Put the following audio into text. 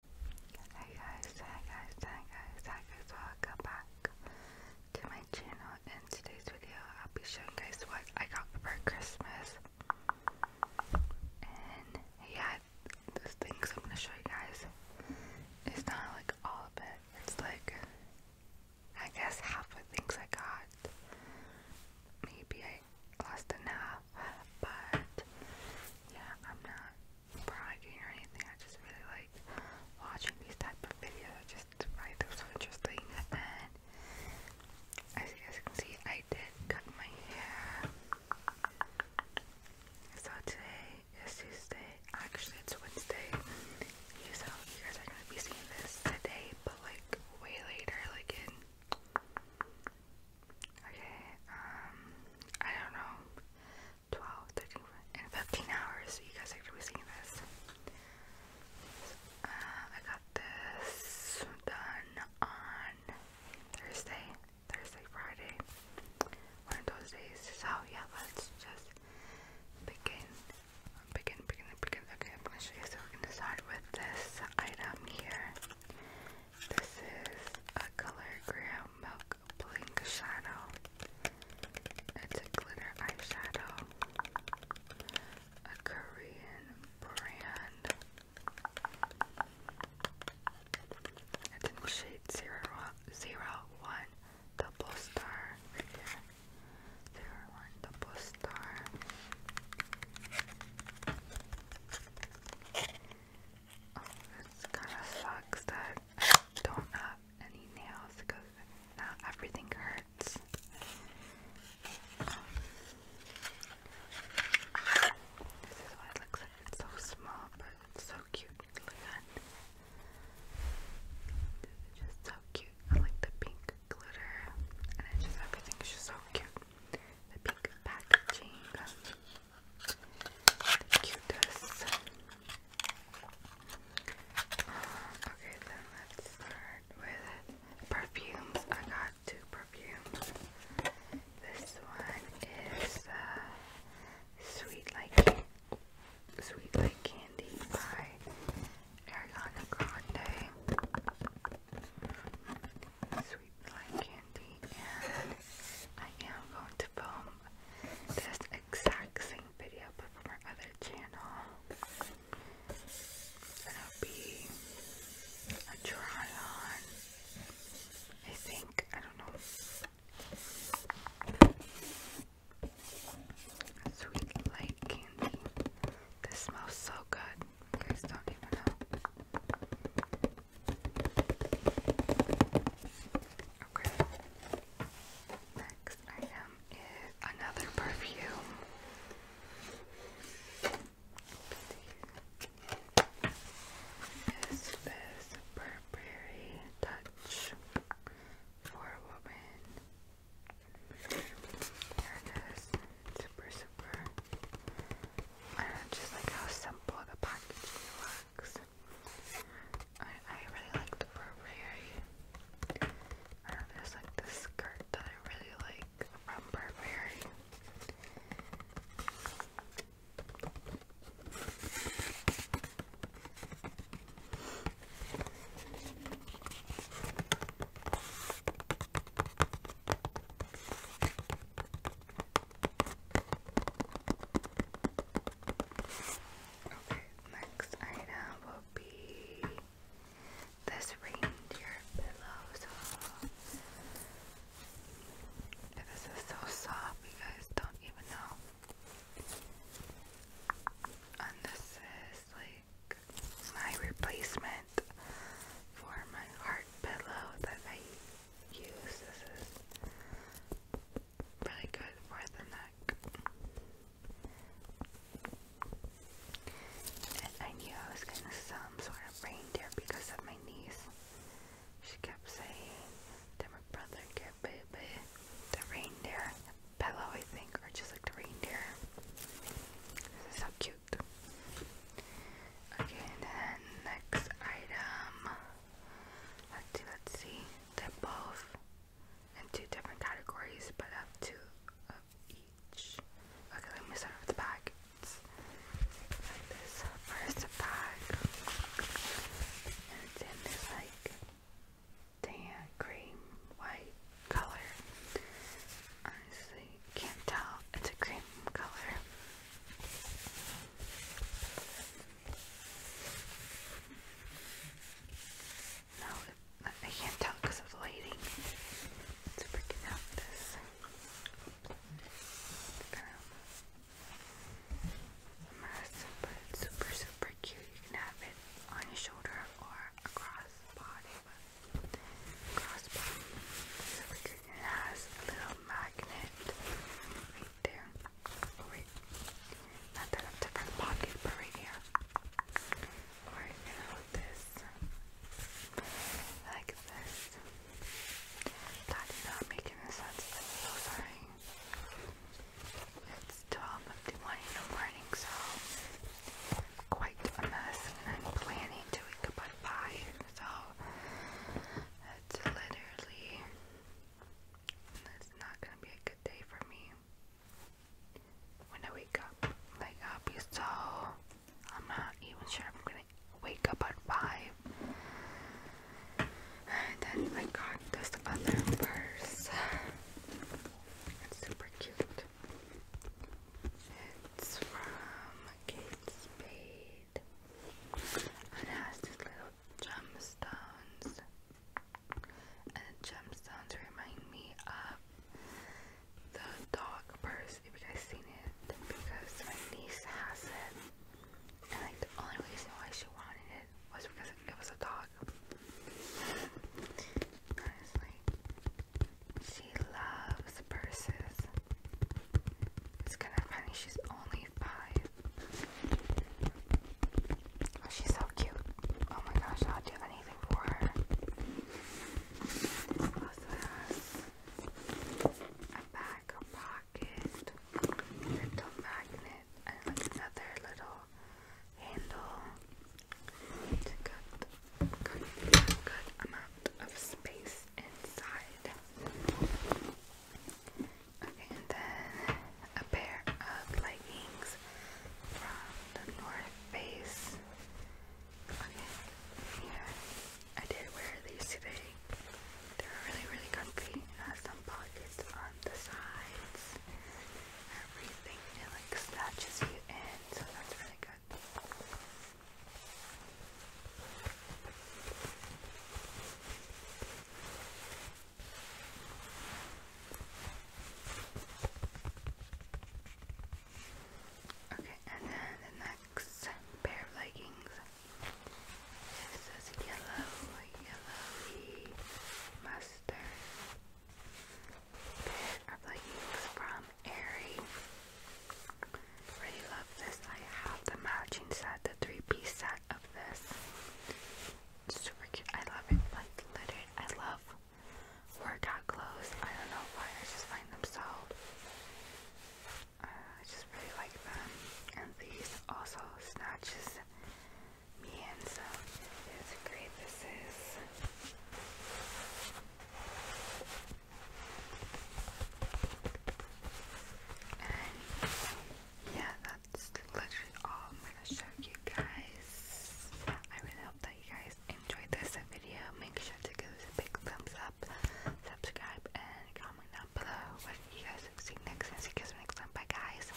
Hey guys, hi guys, hi guys, hi guys, welcome back to my channel. In today's video, I'll be showing guys what I got for Christmas. And yeah, this things I'm gonna show you guys, it's not like all of it, it's like I guess half of the things I got. Maybe I lost enough, but yeah, I'm not bragging or anything. I just really like watching these type of videos. just find them so interesting. And as you guys can see, I did cut my hair. So today is Tuesday. Actually, it's Wednesday. So you guys are gonna be seeing this today, but like way later, like in Okay, um, I don't know, 12, and 15 hours, you guys are to be seeing this. Uh, I got this done on Thursday, Thursday, Friday, one of those days, so yeah, let's just begin, begin, begin, begin, okay, I'm gonna show you, so we're gonna start with this item here. This is a Color Graham Milk Blink Shadow. It's a glitter eyeshadow. A Korean brand. It's in shade zero, double star right double star. It's kind of sucks that I don't have any nails because now everything hurts. This is why it looks like it's so small, but it's so cute. Look at that. This just so cute. I like the pink glitter, and it's just everything is just so cute the pink packaging, the cutest. Okay, then let's start with perfumes. I got two perfumes. This one is uh, Sweet Like Sweet Like Candy by Ariana Grande sweet black candy I am going to film this exact same video but from our channel. It's going be a try on. I think, I don't know. Sweet light candy. This smells so good. You guys don't even know. Okay. Next item is another perfume. Is this Burberry Touch for a Woman? it is. Super, super I just like how simple the packaging looks. I, I really like the Burberry. Uh, there's like this skirt that I really like from Burberry. Okay, next item will be this reindeer pillow. So this is so soft, you guys don't even know. And this is like my replacement for my heart pillow that I use. This is really good for the neck. And I knew I was getting some sort of reindeer because of my niece. She kept saying that my brother get baby the reindeer pillow I think or just like the reindeer. This is so cute. Okay, and then next item. Let's see, let's see. They're both in two different categories, but I have two of each. Okay, let me start with the bag. It's like this first bag. And it's in this like tan, cream, white color. Honestly, can't tell. It's a cream color. No, I can't tell because of lighting. It's freaking out this. but it's super, super cute. You can have it on your shoulder or across body crossbow. it has a little magnet right there. wait, not that a different pocket, but right here. Alright, this. Like this. That not make sense. I'm so sorry. It's 12.51 in the morning, so quite a mess, and I'm planning to wake up at 5, so that's literally, that's not going to be a good day for me when I wake up. Like, I'll be so, I'm not even sure I'm going to wake up at 5. And then I got this other purse. It's super cute. It's from Kate Spade. And it has these little gemstones. And the gemstones remind me of the dog purse, if you guys seen it. Because my niece has it. And like the only reason why she wanted it was because it was a dog. Honestly. She loves purses. It's kind of funny, she's only five. Oh, she's so cute. Oh my gosh, I'll do anything for her. Also has a back pocket, little magnet, and like another little handle to cut a good amount of space inside. Okay, and then a pair of leggings from the North Face. Okay, yeah, I did wear these today. They're really, really comfy. some pockets on the sides everything. It like snatches you in, so that's really good. Okay, and then the next pair of leggings. This yellow, yellowy mustard. I believe from Aerie. Really love this. I have the matching set, the three-piece set of this. It's super cute. I love it. Like literally, I love workout clothes. I don't know why. I just find them so. Uh, I just really like them. And these also snatches Mienzo is great. This is and yeah, that's literally all I'm gonna show you guys. I really hope that you guys enjoyed this video. Make sure to give us a big thumbs up, subscribe, and comment down below what you guys have seen next. And see you guys next time. Bye, guys.